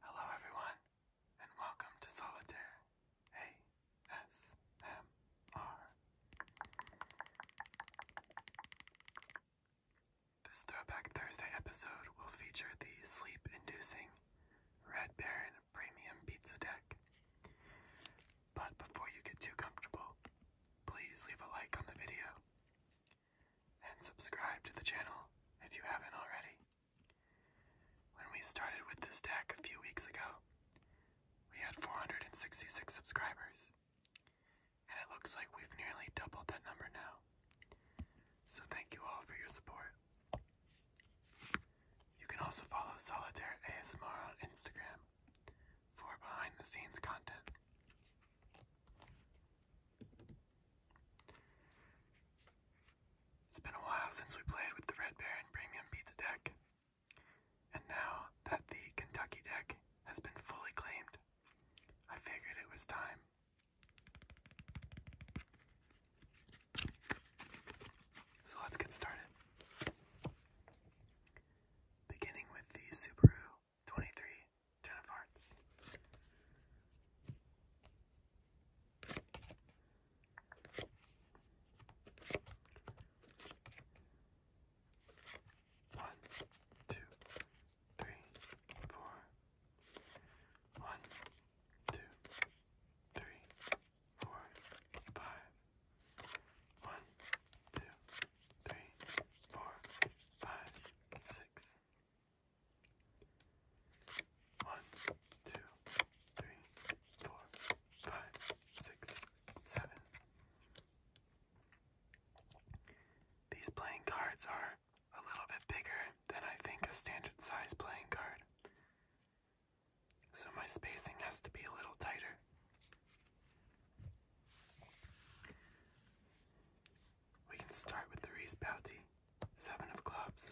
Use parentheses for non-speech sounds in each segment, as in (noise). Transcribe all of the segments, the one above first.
Hello, everyone, and welcome to Solitaire ASMR. This Throwback Thursday episode will feature the sleep inducing Red Baron Premium Pizza Deck. But before you get too comfortable, please leave a like on the video and subscribe to the channel if you haven't already. When we started with this deck a few weeks ago, we had 466 subscribers, and it looks like we've nearly doubled that number now. So thank you all for your support. You can also follow Solitaire ASMR on Instagram for behind the scenes content. It's been a while since we played with the Red Baron Premium Pizza deck, and now that the Kentucky deck has been fully claimed, I figured it was time. So let's get started beginning with the Subaru 23 Ten of Hearts. One, two, three, four. One, two, three, four, five, one, two, three, four, five, six. One, two, three, four, five, six, seven. These playing cards are a little bit bigger than I think a standard size playing card. So my spacing has to be a little tighter. We can start with the Reese Bounty, seven of clubs.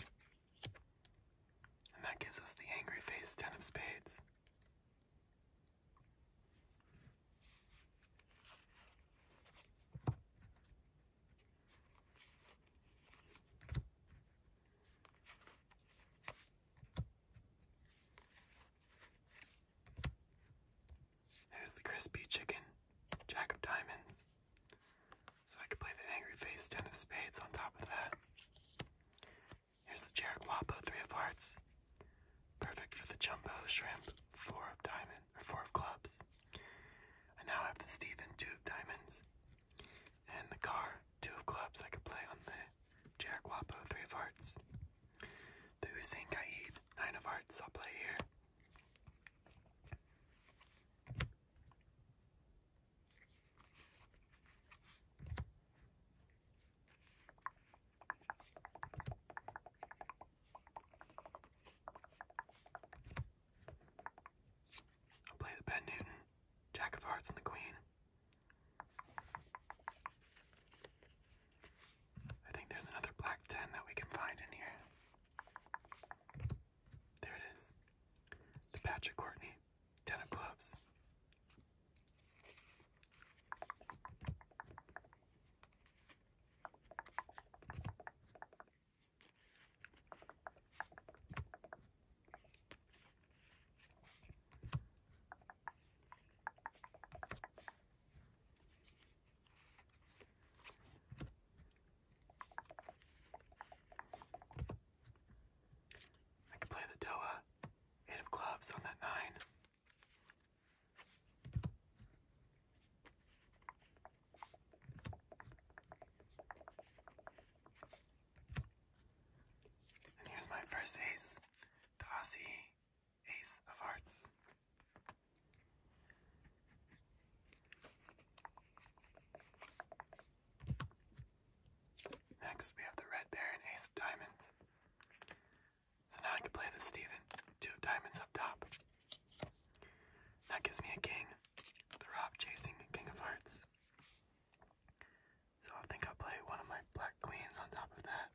And that gives us the angry face, ten of spades. There's the crispy chicken, jack of diamonds. So I could play the angry face, ten of spades on top of that. Here's the Jaraguapo, three of hearts. Perfect for the jumbo shrimp, four of Diamonds or four of clubs. I now have the Steven, two of diamonds. And the car, two of clubs I could play on the Jack of Wapo, three of hearts. The Hussein Kaid, nine of hearts. I'll play here. I'll play the Ben Newton, Jack of Hearts, and the Queen. I think there's another black 10 that we can find in here. There it is. The Patrick Courtney, 10 of clubs. I can play the Doa, eight of clubs on that nine. And here's my first ace, the Ace of Hearts. Next, we have the Red Baron, Ace of Diamonds. So now I can play the Stephen two diamonds up top. That gives me a king, the Rob chasing King of Hearts. So I think I'll play one of my black queens on top of that.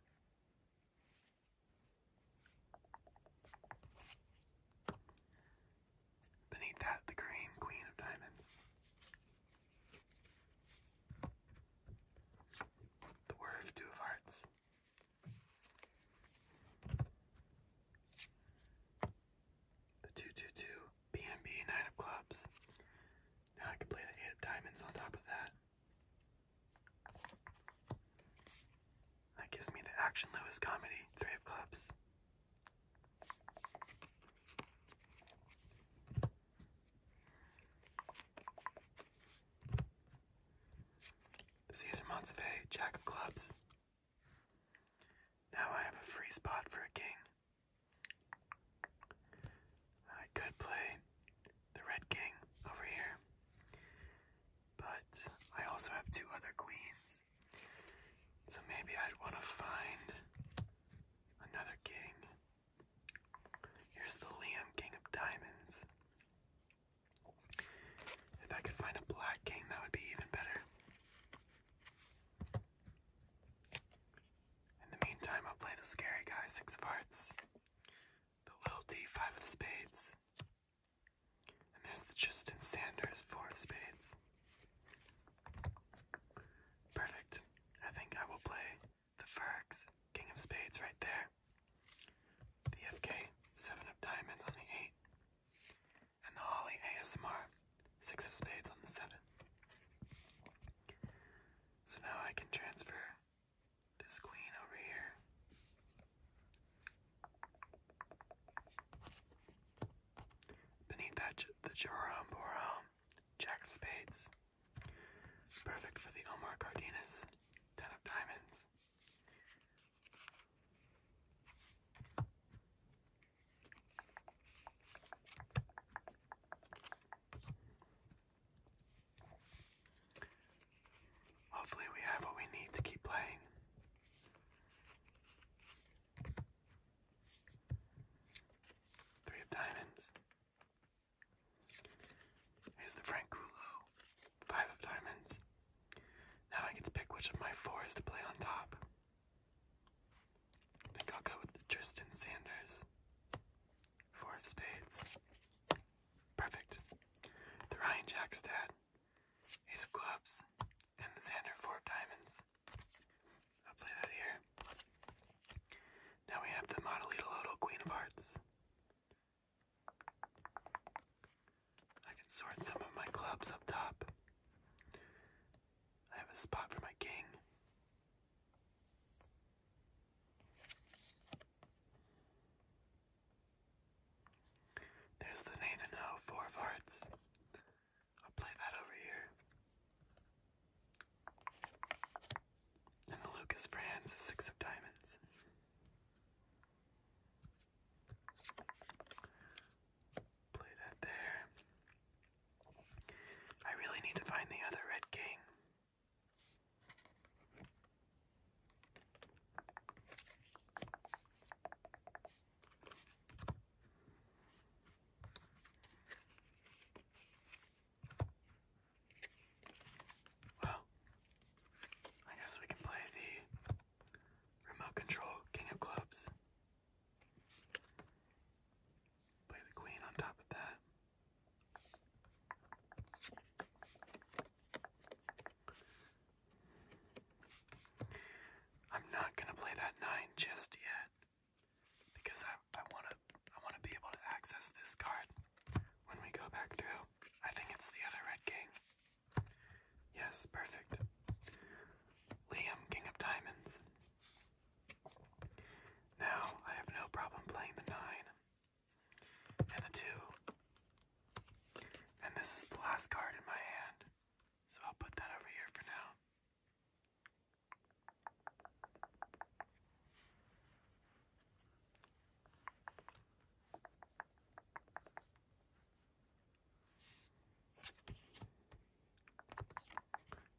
Beneath that, the green queen of diamonds. The worth two of hearts. The 222 BNB 9 of clubs. Now I can play the 8 of diamonds on top of that. That gives me the Action Lewis comedy, Three of Clubs. Caesar Montevey, Jack of Clubs. Now I have a free spot for a king. I could play the Red King over here, but I also have two other queens, so maybe I'd want to find another king. Here's the Liam King of Diamonds. If I could find a black king, that would be even better. In the meantime, I'll play the scary guy, Six of Hearts the little d five of spades, and there's the Justin Sanders four of spades. Perfect. I think I will play the Fergs King of Spades right there. The FK seven of diamonds on the eight, and the Holly ASMR six of spades on the seven. So now I can transfer this queen over here. Beneath that, the Joram Boram, Jack of Spades. Perfect for the Omar Cardenas, Ten of Diamonds. Hopefully, we have what we need to keep playing. Three of diamonds. Here's the Frank Five of diamonds. Now I get to pick which of my four is to play on top. I think I'll go with the Tristan Sanders. Four of spades. Perfect. The Ryan Jack's dad. Ace of clubs. And the Xander four of diamonds. I'll play that here. Now we have the Modelito Queen of Hearts. I can sort some of my clubs up top. I have a spot for my king. There's the Nathan Ho of Hearts. I'll play that over here. And the Lucas Franz Six of Diamonds. Play that there. I really need to find the other Red King. Well, I guess we can play the remote control King of Clubs. Play the Queen on top of that. I'm not gonna play that nine just yet because I I wanna I wanna be able to access this card when we go back through. I think it's the other red king. Yes, perfect. Liam, King of Diamonds. Now I have no problem playing the nine and the two. And this is the last card in my hand, so I'll put that over here for now.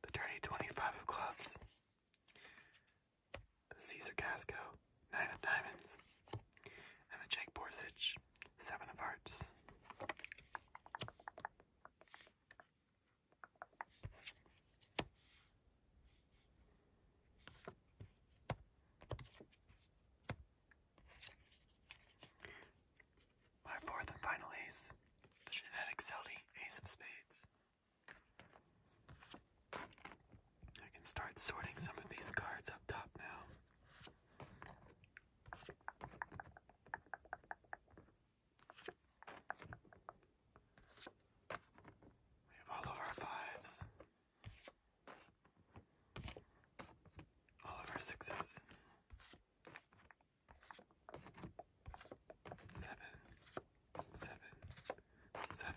The dirty 25 of clubs. The Caesar Casco, nine of diamonds, and the Jake Borsich, seven of hearts. My fourth and final ace, the genetic Seldy Ace of Spades. I can start sorting some of these cards up top now. We have all of our fives, all of our sixes, seven, seven, seven.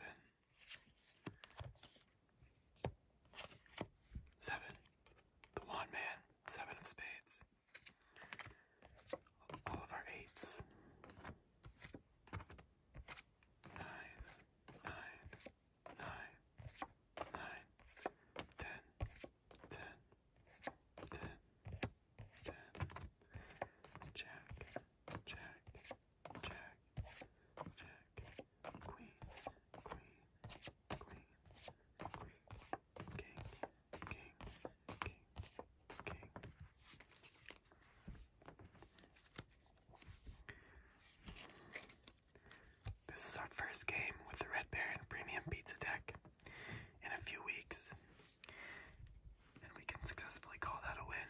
Seven. The one man. Seven of spades. All of our eights. Nine. Nine. Jack. Jack. Jack, Jack, Queen, Queen, Queen, Queen, King, King, King, King. This is our first game with the Red Baron Premium Pizza deck in a few weeks, and we can successfully call that a win.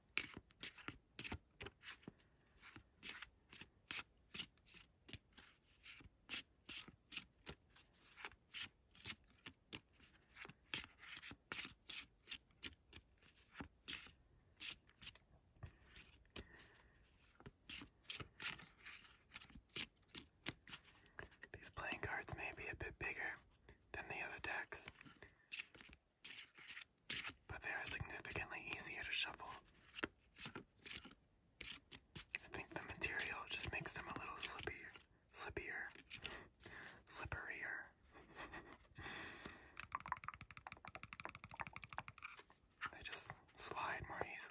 These playing cards may be a bit bigger than the other decks, but they are significantly easier to shuffle. I think the material just makes them a little slippy, slippier, slipperier. (laughs) they just slide more easily.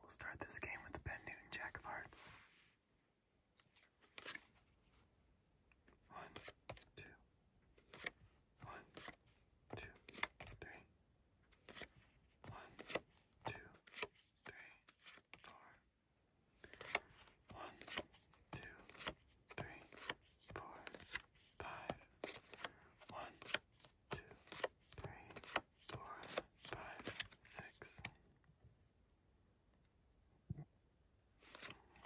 We'll start this game with the Ben Newton Jack of Hearts. One, two, one, two, three, one, two, three, four, one, two, three, four, five. One, two, three, four, five, six.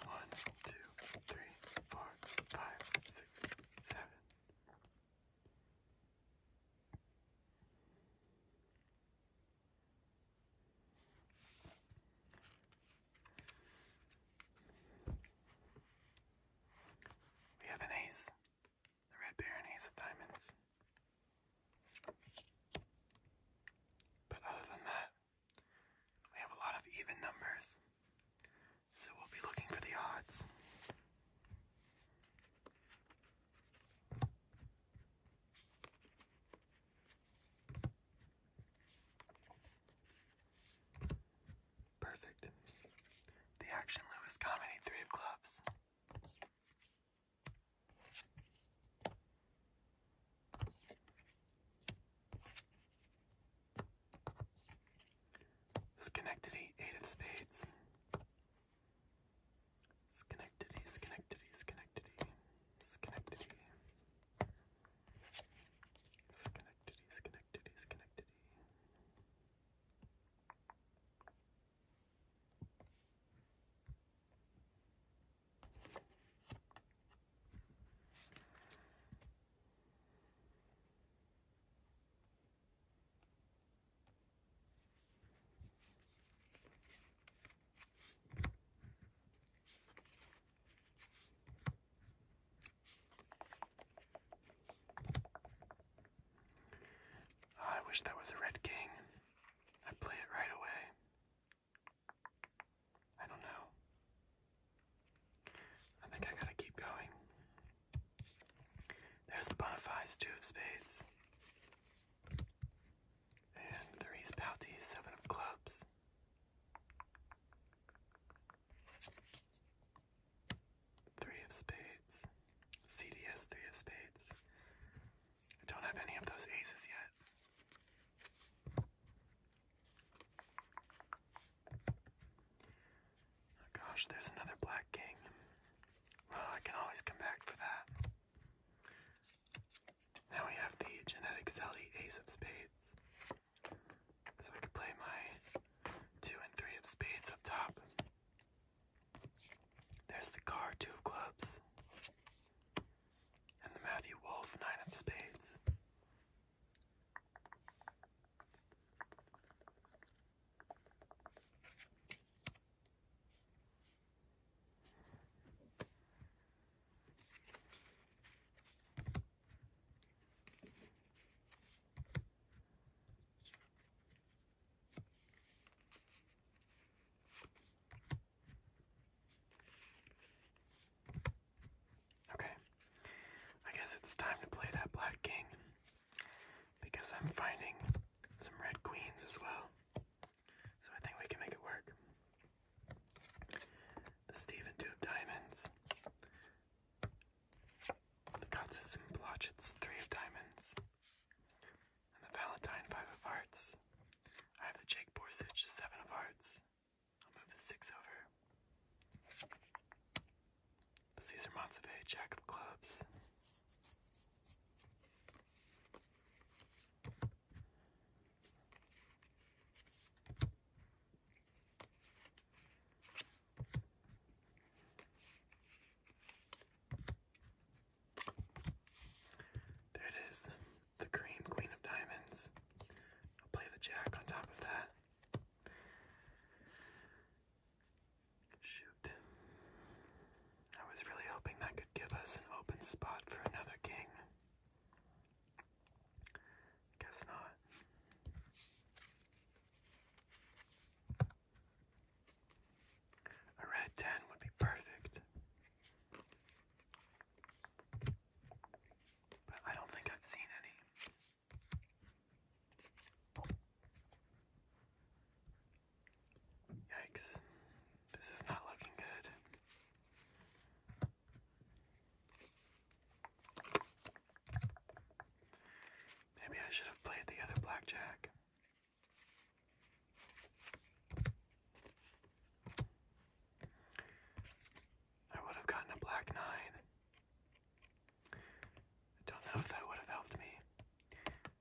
One, two, three, four, five, six, seven. We have an ace, the red baron ace of diamonds. But other than that, we have a lot of even numbers, so we'll be looking for the odds. Perfect. The Action Lewis Comedy Three of Clubs. Schenectady Eight of Spades. Schenectady, Schenectady, Schenectady, Schenectady. Schenectady, Schenectady. Schenectady, Schenectady. Ah, I wish that was a red king. i play it right away. I don't know. I think I gotta keep going. There's the Bonifies, two of spades. And the Reese Pouty, seven of clubs. Three of spades. CDS, three of spades. I don't have any of those aces yet. Oh, gosh, there's another black king. Well, I can always come back for that. Now we have the genetic Sally ace of spades. So I could play my two and three of spades up top. There's the car, two of clubs. And the Matthew Wolf, nine of spades. Okay, I guess it's time to play that black king because I'm finding some red queens as well. So I think we can make it work. The Stephen Two of Diamonds, the Gods of St. Three of Diamonds. And the Valentine Five of Hearts. I have the Jake Borsich Seven of Hearts. I'll move the six over. The Caesar Montseve Jack of Clubs. There it is, the cream queen of diamonds. I'll play the jack on top of that. Shoot. I was really hoping that could give us an open spot for another king. Guess not. A red 10 would be perfect. But I don't think I've seen any. Yikes. This is not looking good. Maybe I should have played the other blackjack. I would have gotten a black nine. I don't know if that would have helped me.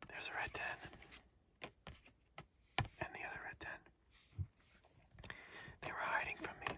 There's a red ten. And the other red ten. They were hiding from me.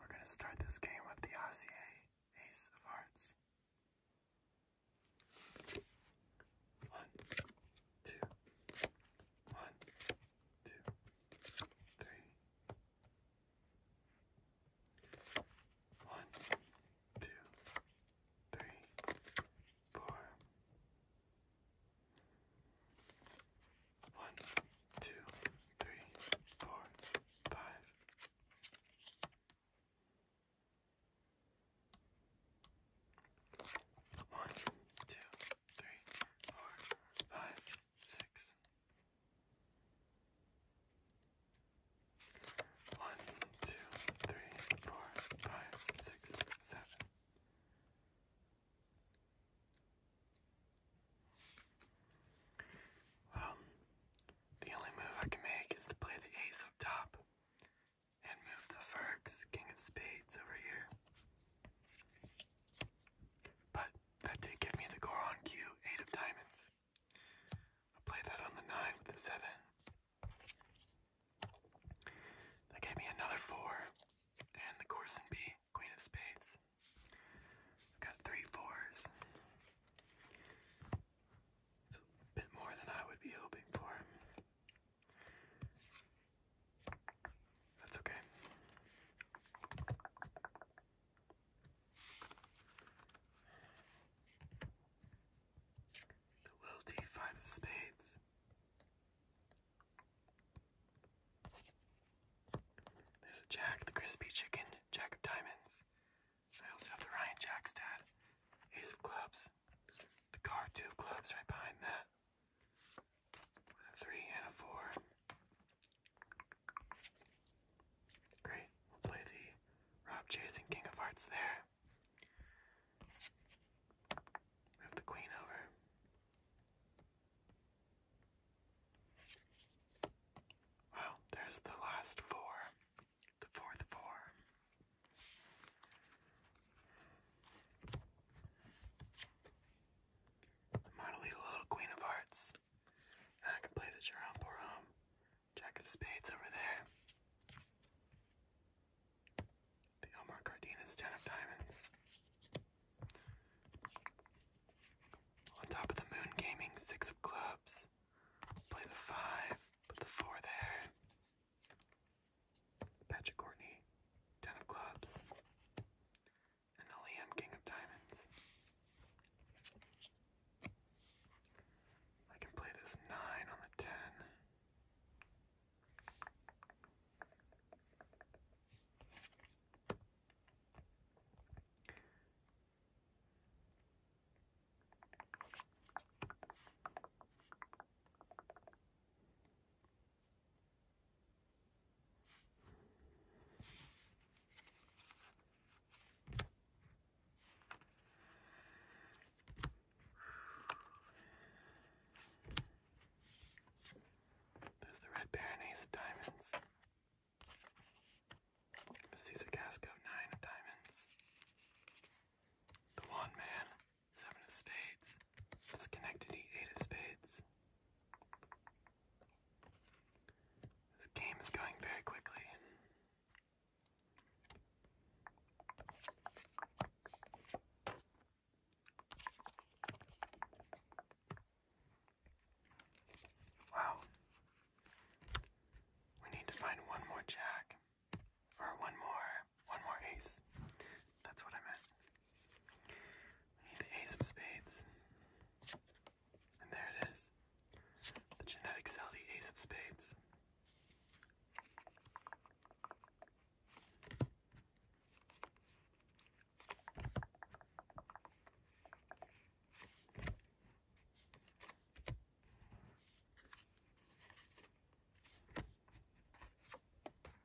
We're going to start this game with the RCA Ace of Hearts. One, two, one, two, three. One, two, three, four. One, two, three, four, five, six. One, two, three, four, five, six, seven. Well, the only move I can make is to play the ace up top and move the Ferg's King of Spades over here. But that did give me the Goron cue, 8 of Diamonds. i play that on the 9 with the 7. That gave me another 4, and the Corson B, Queen of Spades. I've got three fours. It's a bit more than I would be hoping for. That's okay. The low T five of spades. There's a jack, the crispy chicken, jack of diamonds. I also have the Ryan Jack's dad, ace of clubs, the car two of clubs right behind that three, and a four. Great. We'll play the Rob chasing King of Hearts there. Move the Queen over. Well, there's the last four. The fourth four. I'm little Queen of Hearts. I can play the Jerome Porom. Jack of Spades over there. The Elmar Cardenas Ten of Diamonds. On top of the Moon Gaming Six of Clubs. Play the Five. Put the Four there. Patrick Courtney, Ten of Clubs, and the Liam King of Diamonds. I can play this 9 on the 10. There's the Red Baron Ace of Diamonds. The Caesar Casco Nine of Diamonds. The Wand Man. Seven of spades. Disconnected eight of spades. This game is going very quickly. Wow. We need to find one more jack. Or one more one more ace. That's what I meant. We need the ace of spades. And there it is. The genetic Salty ace of spades.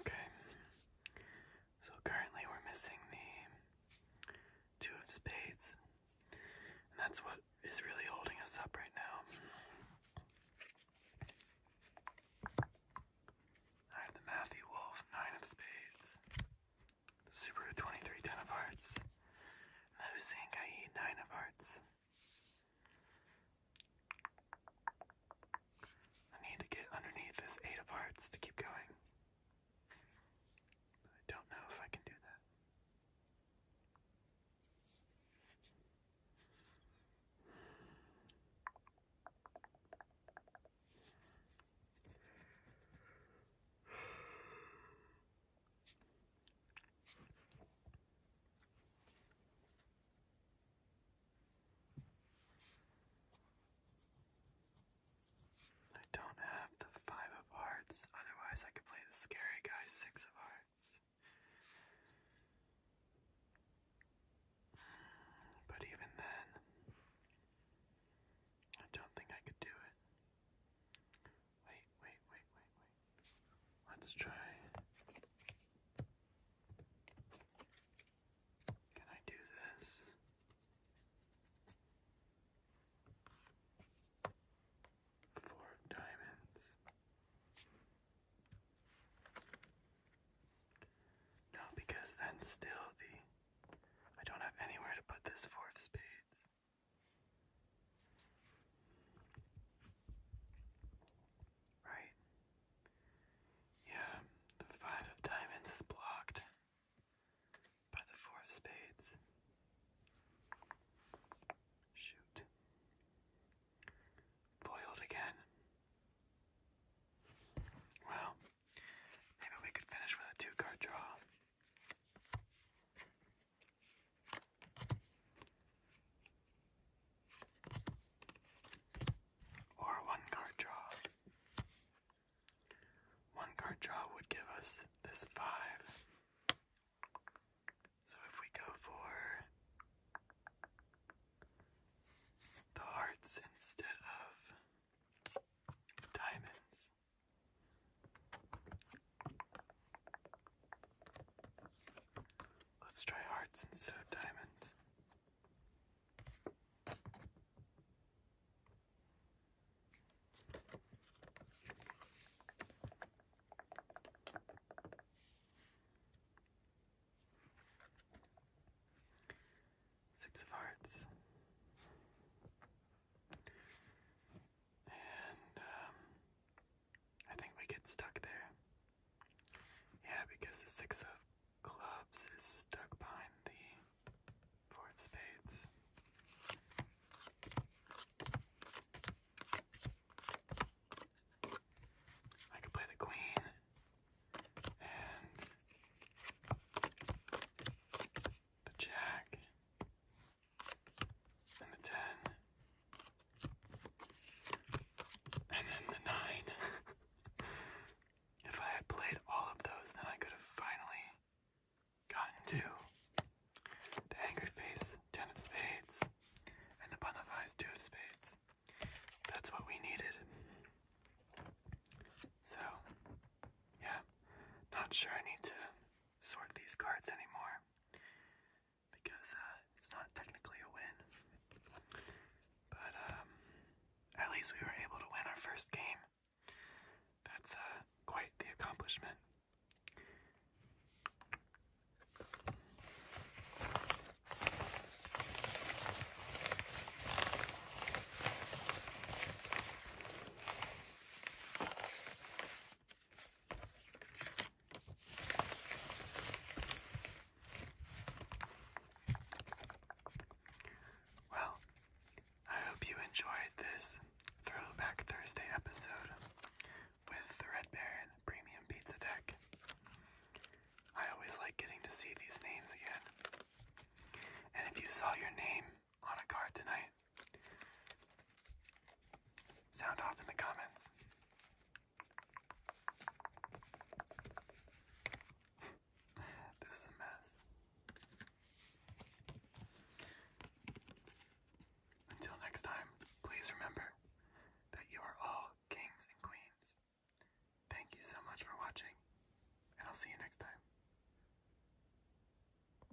Okay. So currently we're missing the two of spades. And that's what is really holding us up right now. I have the Matthew Wolf, nine of spades. The Subaru 23, 10 of hearts. No the Hussein Gai, 9 of hearts. I need to get underneath this 8 of hearts to keep going. I don't know if I can do that. I don't have the five of hearts, otherwise I could play the scary guy six of hearts. But even then, I don't think I could do it. Wait, wait, wait, wait, wait. Let's try. Can I do this? Four of diamonds. No, because then still the I don't have anywhere to put this four of spades. Right? Yeah, the five of diamonds is blocked by the four of spades. Shoot. Foiled again. Well, maybe we could finish with a two card draw. Or one card draw. One card draw would give us this five. So if we go for the hearts instead of diamonds, Let's try hearts instead of diamonds. Six of Hearts. And um, I think we get stuck there. Yeah, because the six of clubs is stuck behind the four of spades. I could play the queen and the jack and the 10, and then the 9. if I had played all of those, then I could have finally gotten to the Angry Face, 10 of Spades, and the Bun of 2 of Spades. That's what we needed. So, yeah, not sure I need to sort these cards anymore because uh, it's not technically a win. But um, at least we were able to win our first game. That's uh, quite the accomplishment. Well, I hope you enjoyed this Throwback Thursday episode with the Red Baron Premium Pizza Deck. I always like getting to see these names again. And if you saw your name on a card tonight? Sound off in the comments. (laughs) this is a mess. Until next time, please remember that you are all kings and queens. Thank you so much for watching, and I'll see you next time.